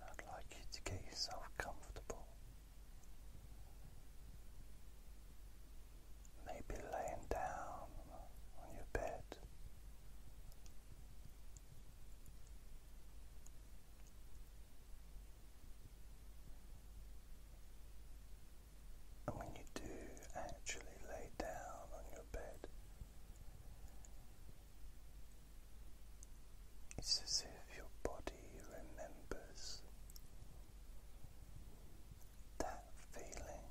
I'd like you to get yourself comfortable. Maybe laying down on your bed. And when you do actually lay down on your bed, it's as if your body remembers that feeling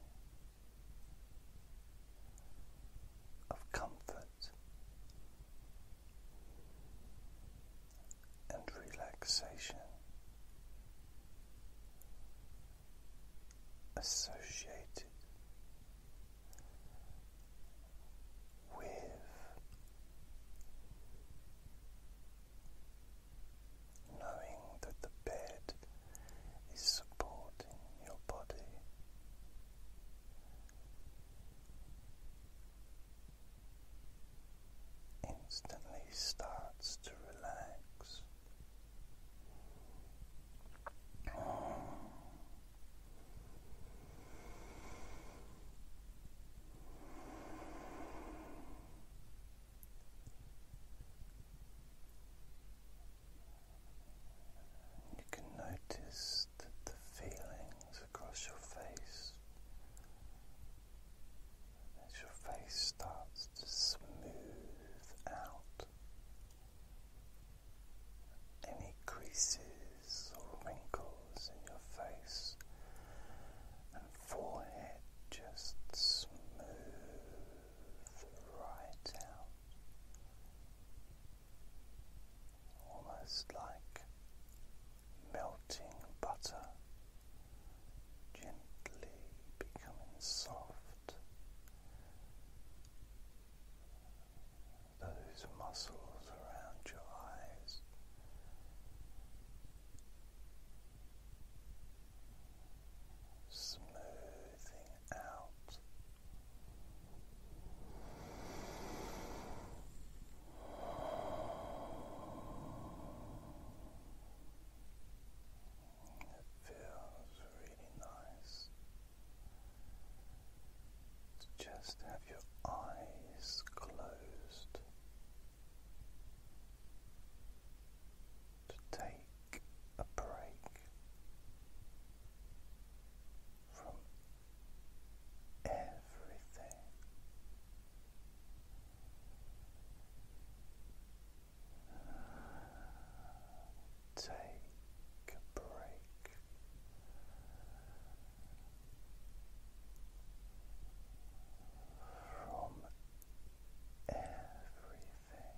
of comfort and relaxation associated with knowing that the bed is supporting your body instantly starts to relax. You can notice the feeling across your face as your face starts to smooth out any creases or wrinkles in your face and forehead just smooth right out almost like melting butter, gently becoming soft. Those muscles around your eyes. Smoothing out feels really nice just have your eyes closed. To take a break from everything. Take a break. From everything,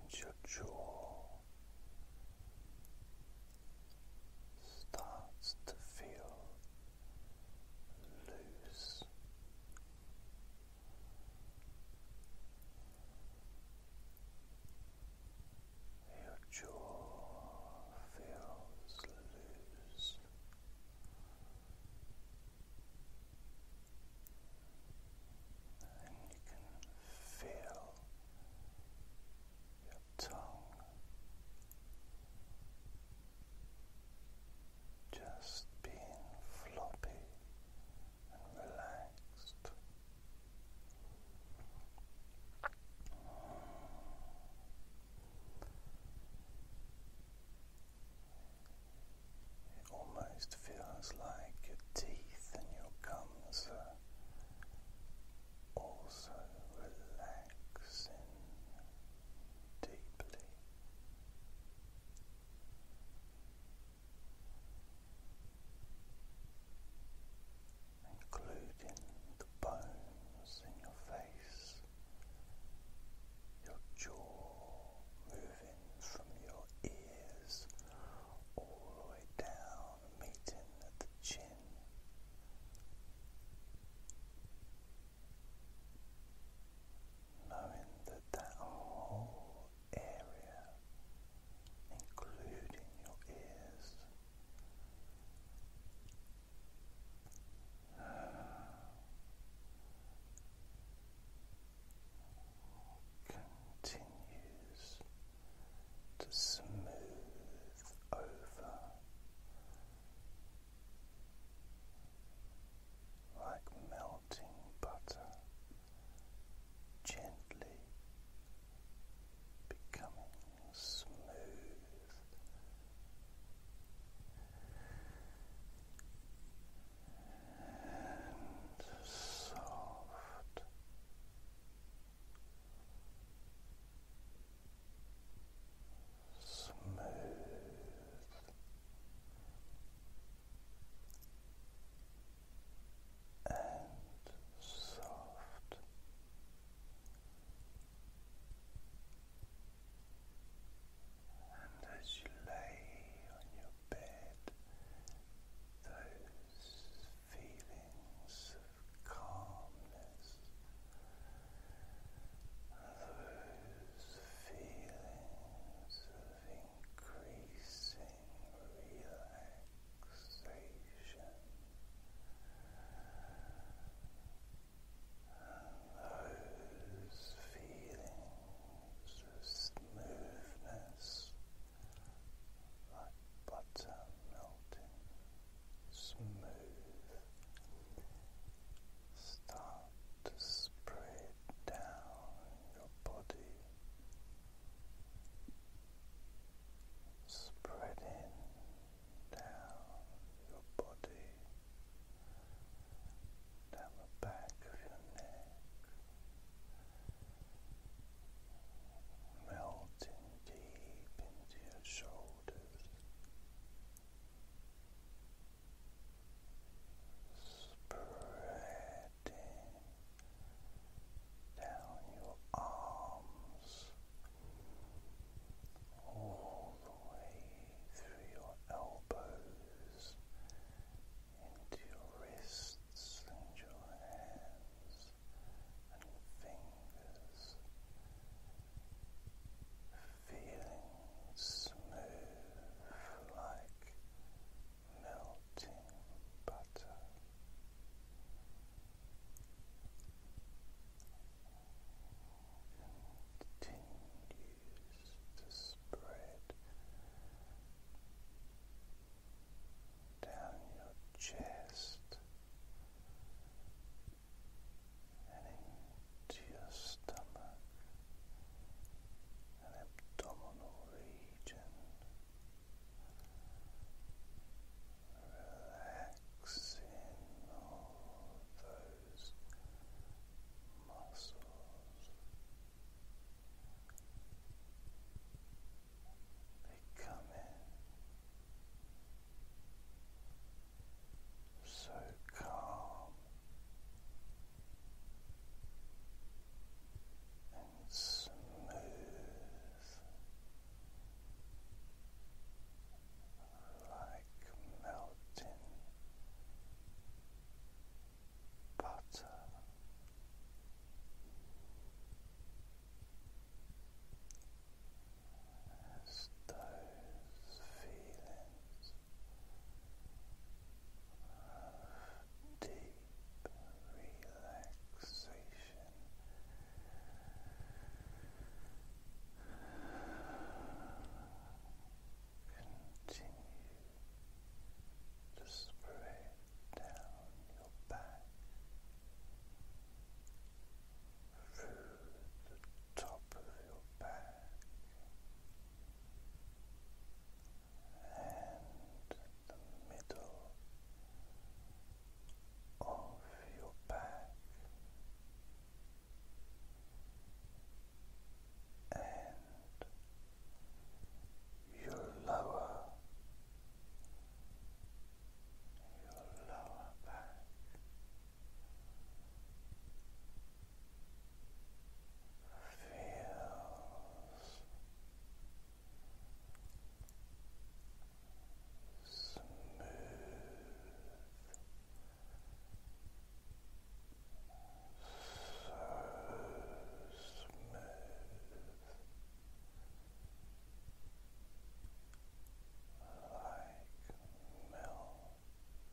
and your jaw starts to feel loose. Your jaw feels loose and you can feel your tongue just being floppy and relaxed. It almost feels like your teeth and your gums are also relaxing deeply. Including the bones in your face, your jaw moving from your ears all the way down, meeting at the chin. Knowing that that whole area, including your ears, continues to smooth over like melting butter, gently becoming smooth and soft. Smooth and soft and as you lay on your bed, those feelings of calmness, those feelings of increasing relaxation those feelings of smoothness like butter melting smooth start to spread down your body spreading down your body down the back of your neck, melting deep into your shoulders, spreading down your arms all the way through your elbows into your wrists and your hands and fingers, feeling smooth like melting butter. Continue to spread down your chest and into your stomach and abdominal region. Relaxing all those muscles. They come in so calm and smooth like melting butter. As those feelings of deep relaxation continue to spread down your back through the top of your back and the middle of your back and your lower, your lower back. Feels smooth smooth. Like melted butter,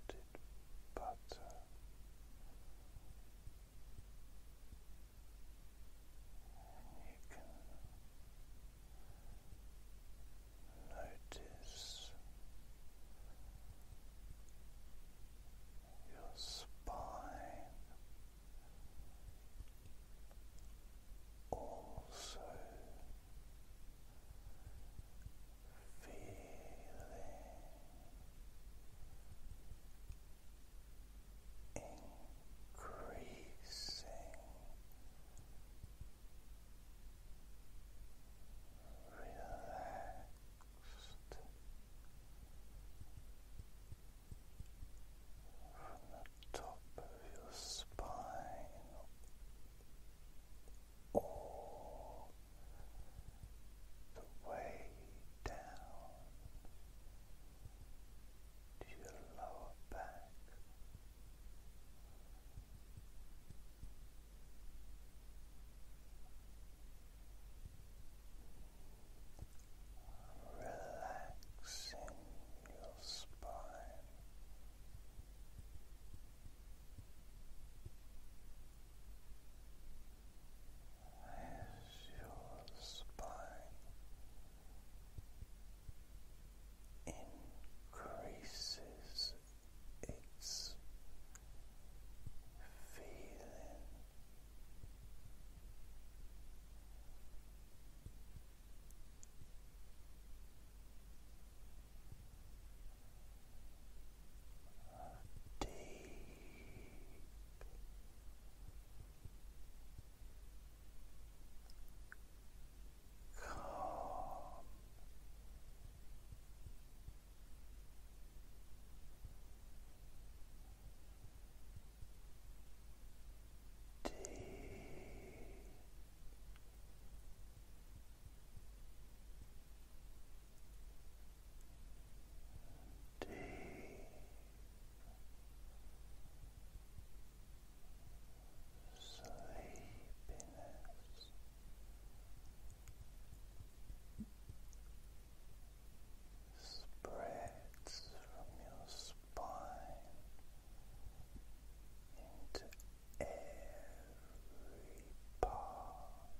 you can Notice your spine also feeling increasing relaxed from the top of your spine all the way down to your lower back relaxing your spine. As your spine increases it's feeling deep calm D D sleepiness spreads from your spine into every part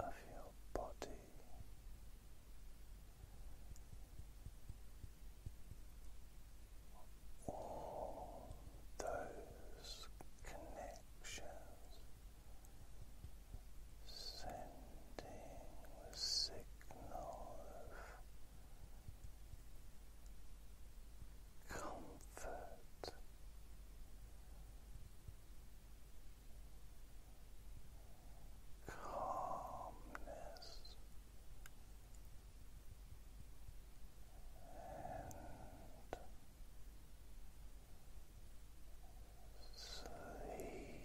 of your body all those connections, sending the of comfort. Calmness spreading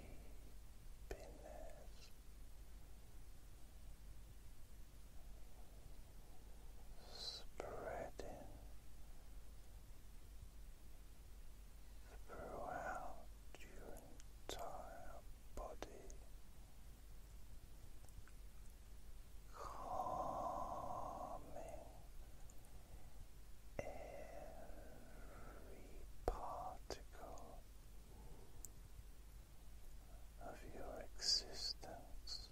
throughout your entire body calming every particle of your existence. Relaxing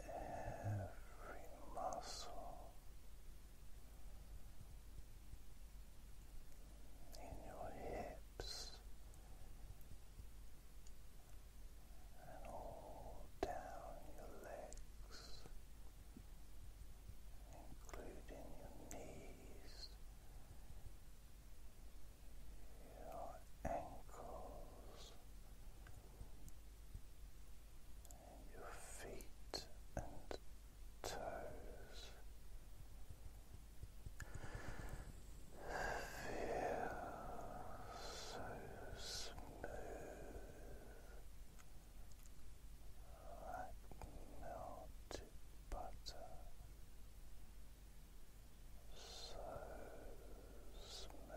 every muscle in your hips and all down your legs, including your knees, your ankles your feet and toes. Feel so smooth like melted butter. So smooth,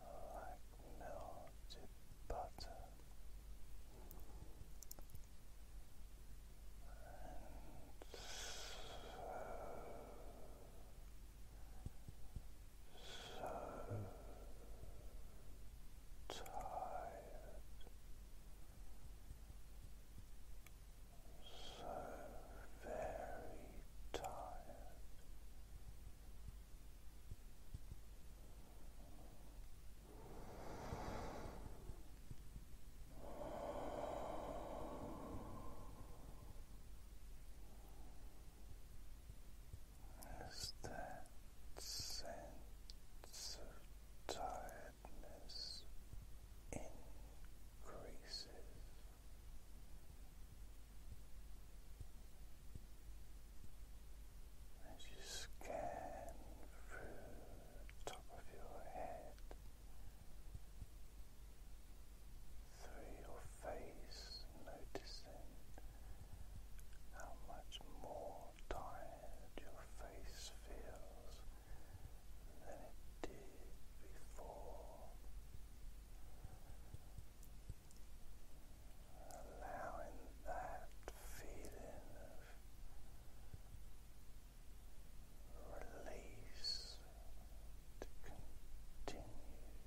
like melted butter and so, so tired so very tired. Is that sense of tiredness increases? As you scan through the top of your head, through your face, noticing how much more tired your face feels than it did before allowing that feeling of release to continue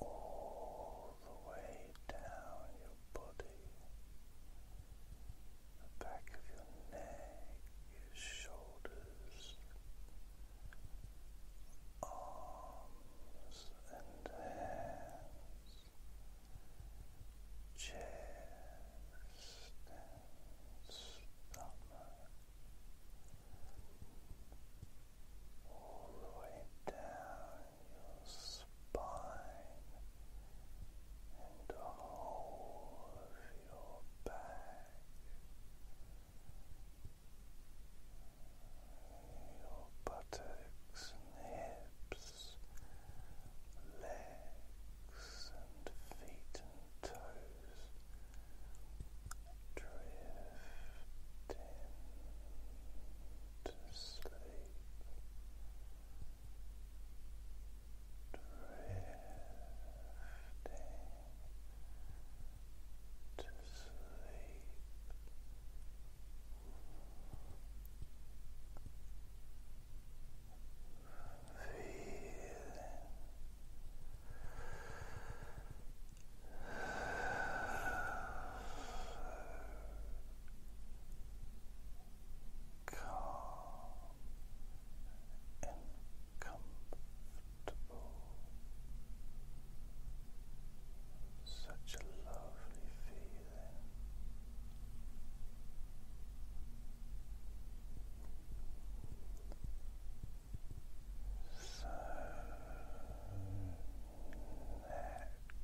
all the way down your body the back of your neck, your shoulders, arms and hands, chest stomach, all the way down your spine and the whole of your back, your buttocks hips, legs and feet and toes. Drift to sleep, to sleep. Feeling calm and comfortable, such a lovely feeling. So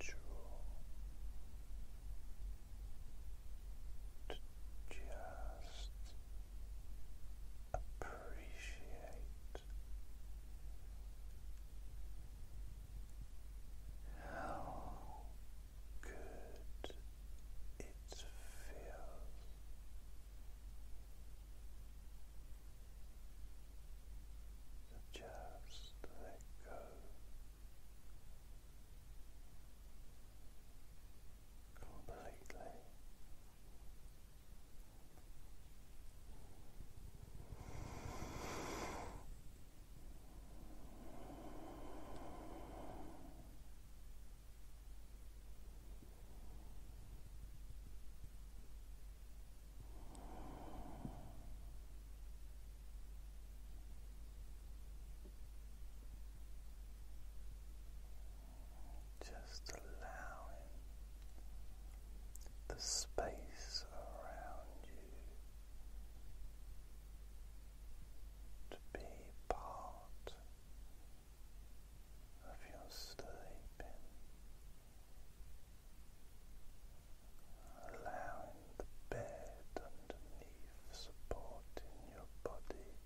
natural to just appreciate how good it feels. So just let go completely. Now just allowing the space around you to be part of your sleeping, allowing the bed underneath supporting your body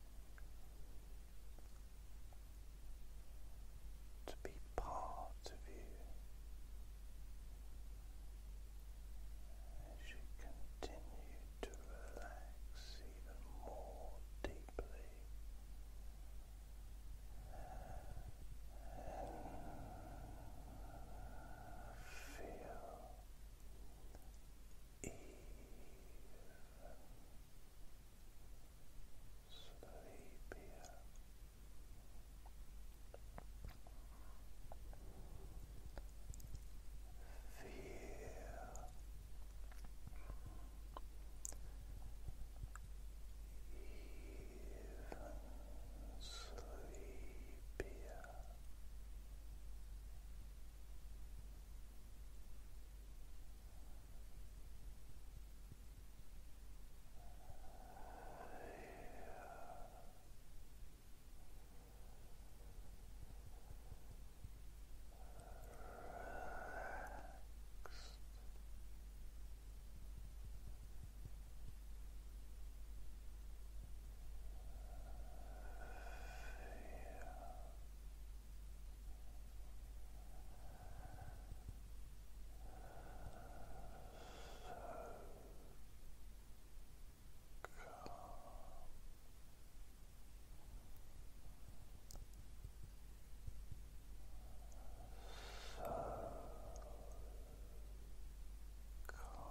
to be part of you as you continue to relax even more deeply and feel sleepier. Feel even Sleepier. Feel so calm.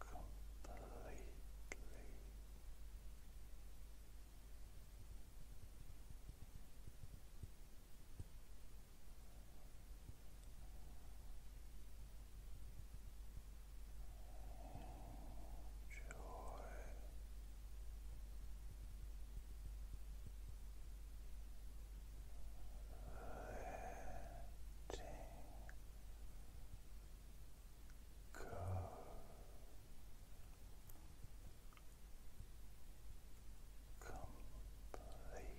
completely. Enjoy. Letting go. Completely